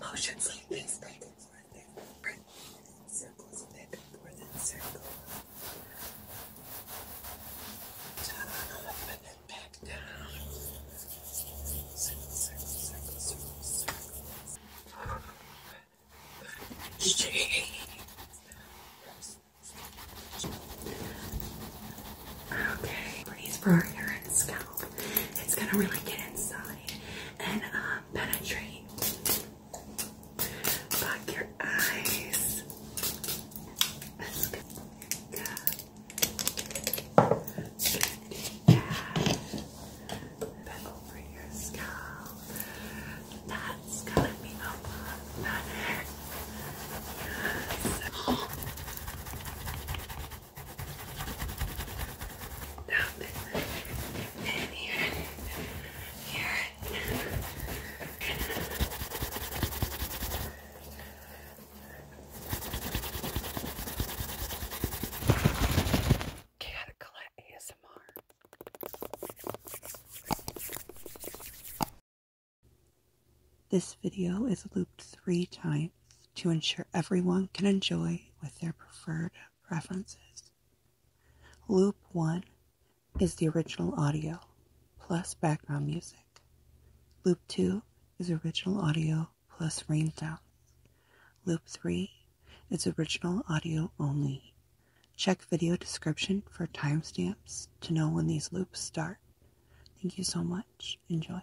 Motions like this make more than print. Circles make more than circle. up and then back down. Circle, circle, circle, circle, circle. Jeez. Okay, breathe for your scalp. It's gonna really get inside and um, penetrate block your eyes. That's good. Yeah. Yeah. Then over your scalp. That's gonna be a lot better. Yes. Up This video is looped three times to ensure everyone can enjoy with their preferred preferences. Loop 1 is the original audio plus background music. Loop 2 is original audio plus rain sounds. Loop 3 is original audio only. Check video description for timestamps to know when these loops start. Thank you so much. Enjoy.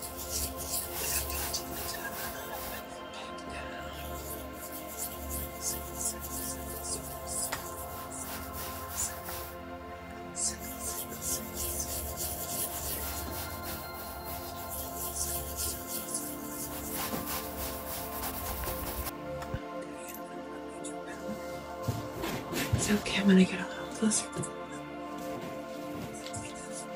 It's okay, I'm gonna get a little closer.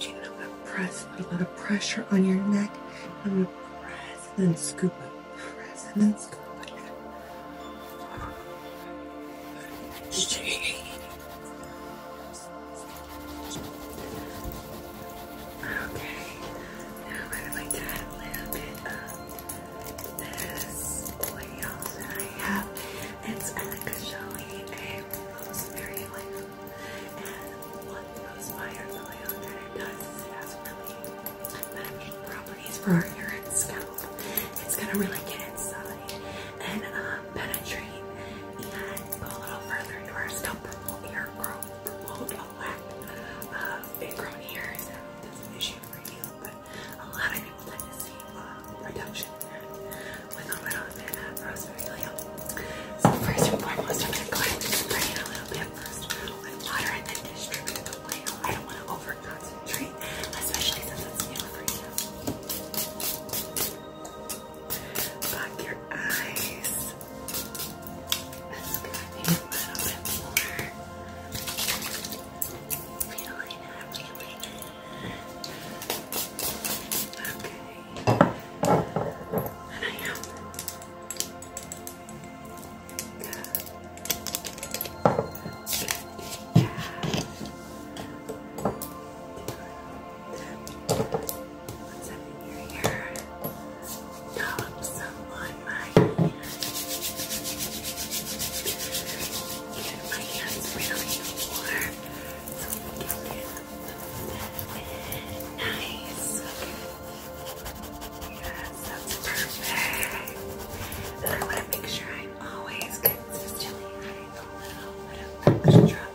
I'm gonna press, put a lot of pressure on your neck. I'm gonna press and then scoop up, press and then scoop up. Okay, now I'm gonna like to a little bit of this oil that I have. It's actually a rosemary oil. And what rosewire oil that it does is it has really beneficial properties for your scalp. It's gonna really get inside and um, penetrate and go a little further into our scalp, promote hair growth, promote a lack of uh, big grown hairs. That's an issue for you but a lot of people like to see uh, production with a my bit of rosemary oil. So first and foremost, I'm going to go ahead and spray it a little bit first with water and then distribute the oil. I don't want to over concentrate, especially since it's new for you. Block your eyes. That's good. Need a little bit more feeling happy Okay. I am. What's happening here? Dollop someone my hands. really warm. So we can get nice. Yes, that's perfect. I want to make sure I'm always consistently adding a little bit of extra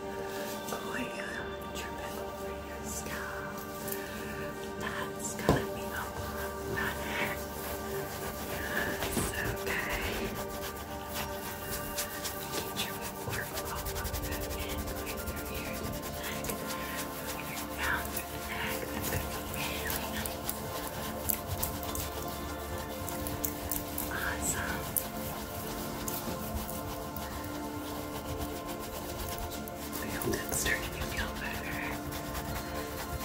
oil dripping over your scalp. That's gonna be a lot better. Yes, okay. Get your work all of it in right through here to the neck. Moving That's gonna be really nice. Awesome. I hope that's starting to feel better.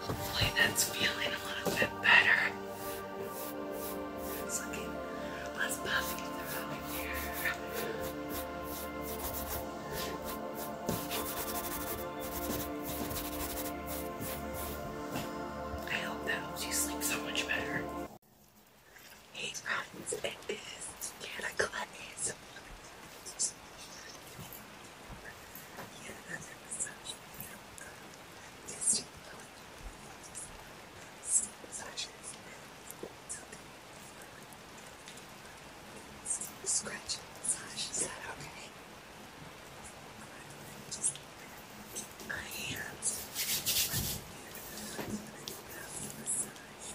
Hopefully that's feeling a little bit better. It's looking less puffy throughout here. I hope that helps you sleep so much better. Hey friends, it is Yana Gladys. Yet another massage video of distant Sleep massages and scratch massage. Is that okay? Just my hands. Right here. I'm going to massage.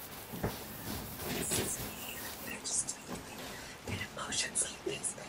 This is me. Like, just and emotions like this. Like,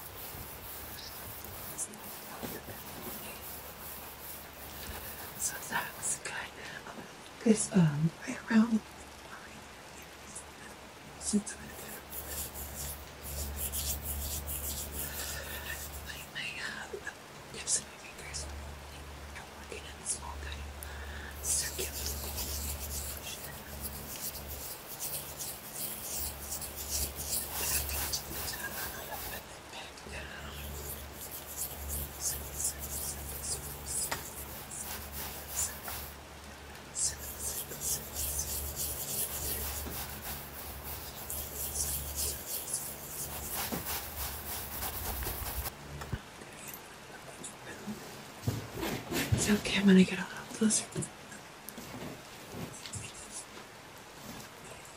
So that's good. This um right around since like my tips of my fingers I'm working in a small kind of circular it's okay, I'm gonna get a little closer.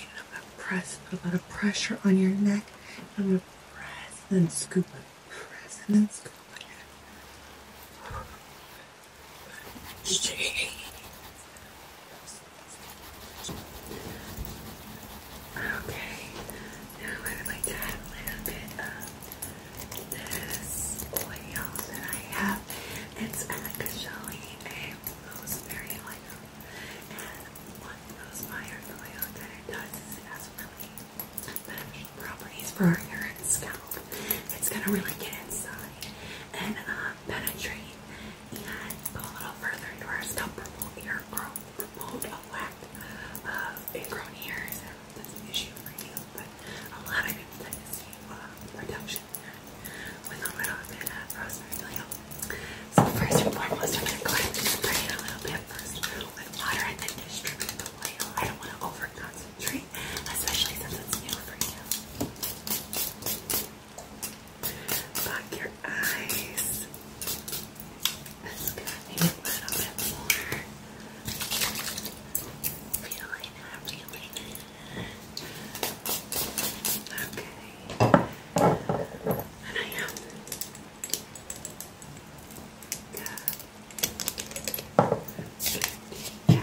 I'm going to press, put a lot of pressure on your neck. I'm going to press and then scoop Press and then scoop Okay, now I would like to add a little bit of this oil that I have. It's actually a rosemary And one rosemary oil that it does is it has really beneficial properties for your scalp. It's gonna really get inside and penetrate and go a little further into our scalp, promote your growth, promote a lack of ingrown hairs that's an issue for you, but a lot of people tend to see uh, reduction with a little bit of rosemary oil. So first and foremost, I'm going to go ahead and spray it a little bit first with water and then distribute the oil. I don't want to over especially since it's new for you. Lock your eyes. Let's go a little bit more. Feeling it, feeling Okay. And I am. Yeah. Yeah. What's in your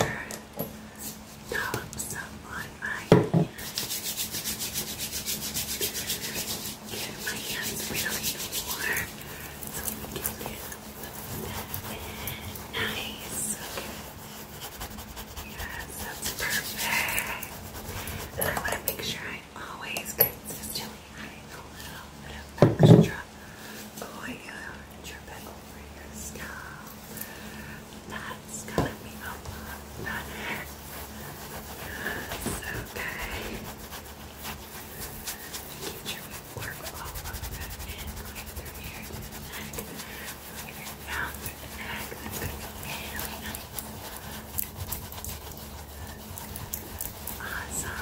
ear? Dollops up on get my hands really warm so we can get them nice. Okay. Yes, that's perfect. And I want to make sure I always consistently add a little bit of extra oil and over your scalp. That's gonna be a lot better. It's okay. Keep your work all over that and here to the Going down through the That's going to Awesome.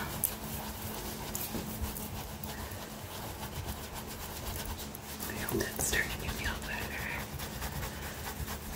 I hope that's to feel better.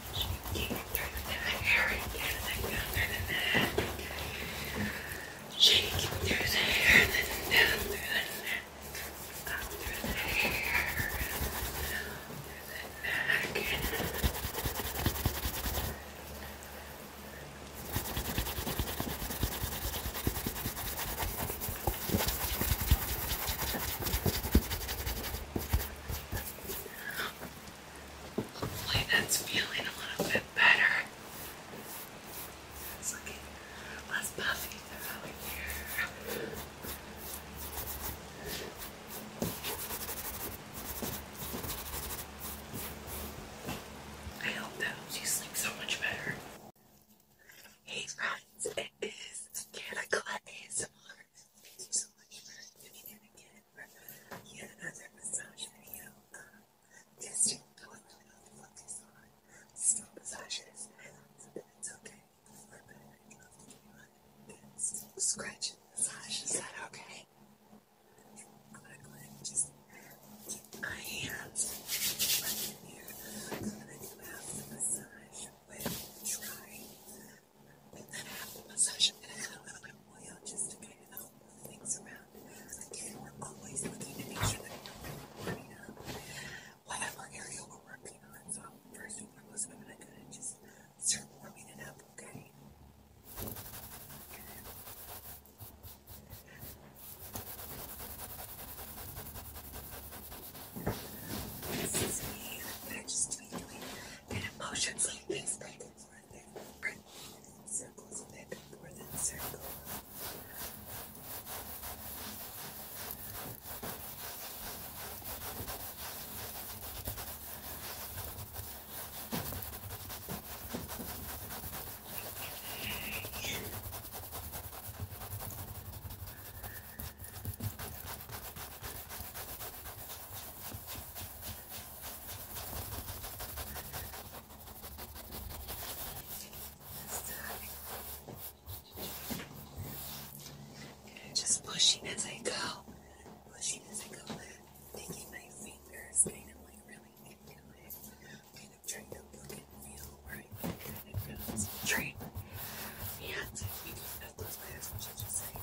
She came through the hair and then down through the neck. She came through the hair and then down through the neck. Up through the hair, down through the neck. She Hopefully that's feeling a little bit better. It's looking less puffy throughout here. I hope that helps you sleep so much better. Hey friends, that is Danica ASMR. Thank you so much for tuning in again for yet another massage video. Um, this is what I really want to massages. it's okay. We're better. to do it. It's Just keep my hands right here. I'm going to do half the massage with dry and then With that happened, Masasha and oil just to kind of help move things around. Again, we're always looking to make sure that we burn working up. whatever area we're working on. So, first and foremost, I'm going to kind of just start warming it up, okay? This and emotions like this making more than print circles making than circle. And just pushing as I go, pushing as I go, taking my fingers kind of like really into it, kind of trying to feel where I can kind of concentrate. And I think that those last ones are just like.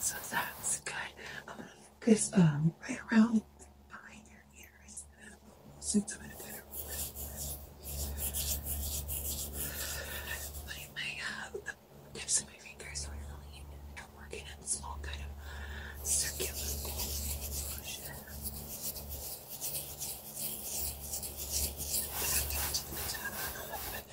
So that's good. I'm gonna put this um right around behind your ears. Since i better putting my um, tips of my fingers really i working in small kind of circular motion.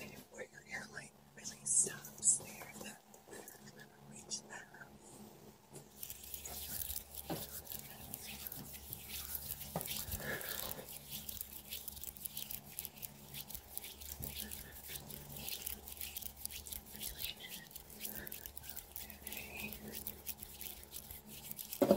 And where your airline really stops there, that reach that Okay.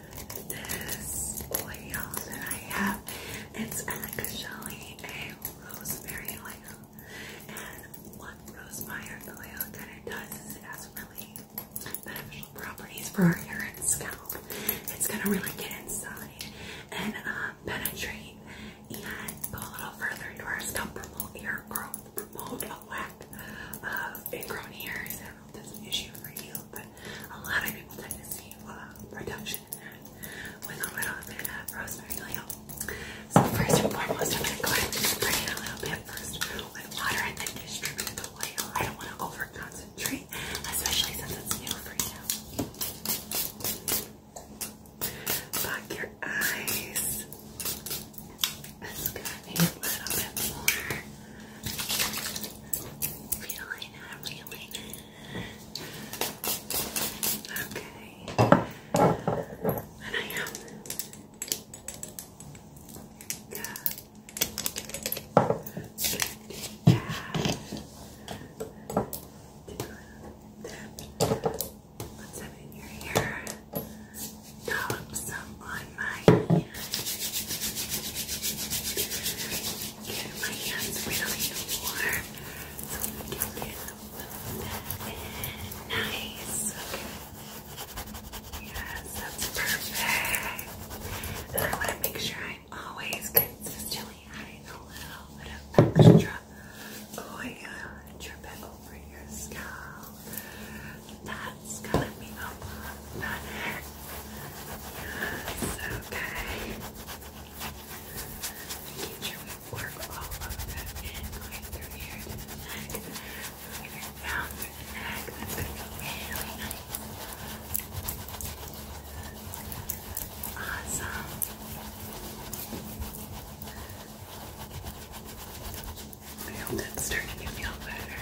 this oil that I have. It's actually a rosemary oil. And what rosemary oil that it does is it has really beneficial properties for our hair and scalp. It's gonna really get inside and uh, penetrate and go a little further into our scalp, promote hair growth, promote a lack of ingrown hairs. I don't know if that's issue for you, but a lot of people tend to see uh, reduction with a little bit of rosemary oil. So first and foremost, I'm going to go ahead and spray it a little bit first with water and then distribute the oil. I don't want to over concentrate, especially since it's new for you. Block your eyes. It's gonna need a little bit more. Feeling it, feeling it. Okay. And I am. Yeah. Yeah. Put some in your hair. Dollop some on my hand get my hands really warm so we can get them nice. Okay. Yes, that's perfect. And I want to make sure I'm always consistently adding a little bit of extra oil and over your scalp. That's gonna be a Yes, okay. Get your work all over that and going through here to the neck. If you're down through the really nice. Awesome. I hope that's starting to feel better.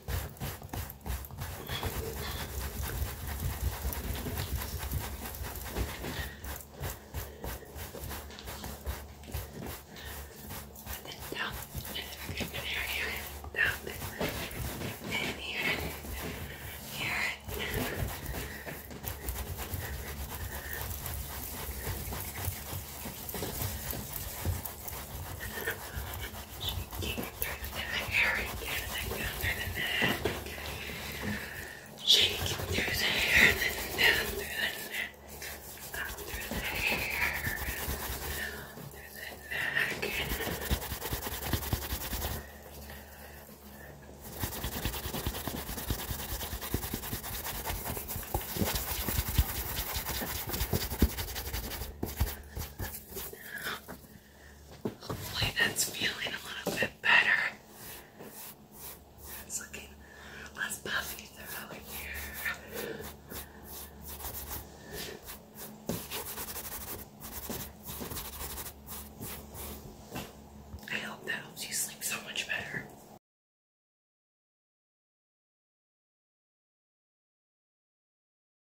And then down, just in here, here, down, and here, here. Shaking through the hair and down through the neck. Shaking through the hair then down through the neck. Up through the hair down through the neck. Hopefully that's feeling a little bit better. It's looking less puffy throughout here. I hope that helps you sleep so much better.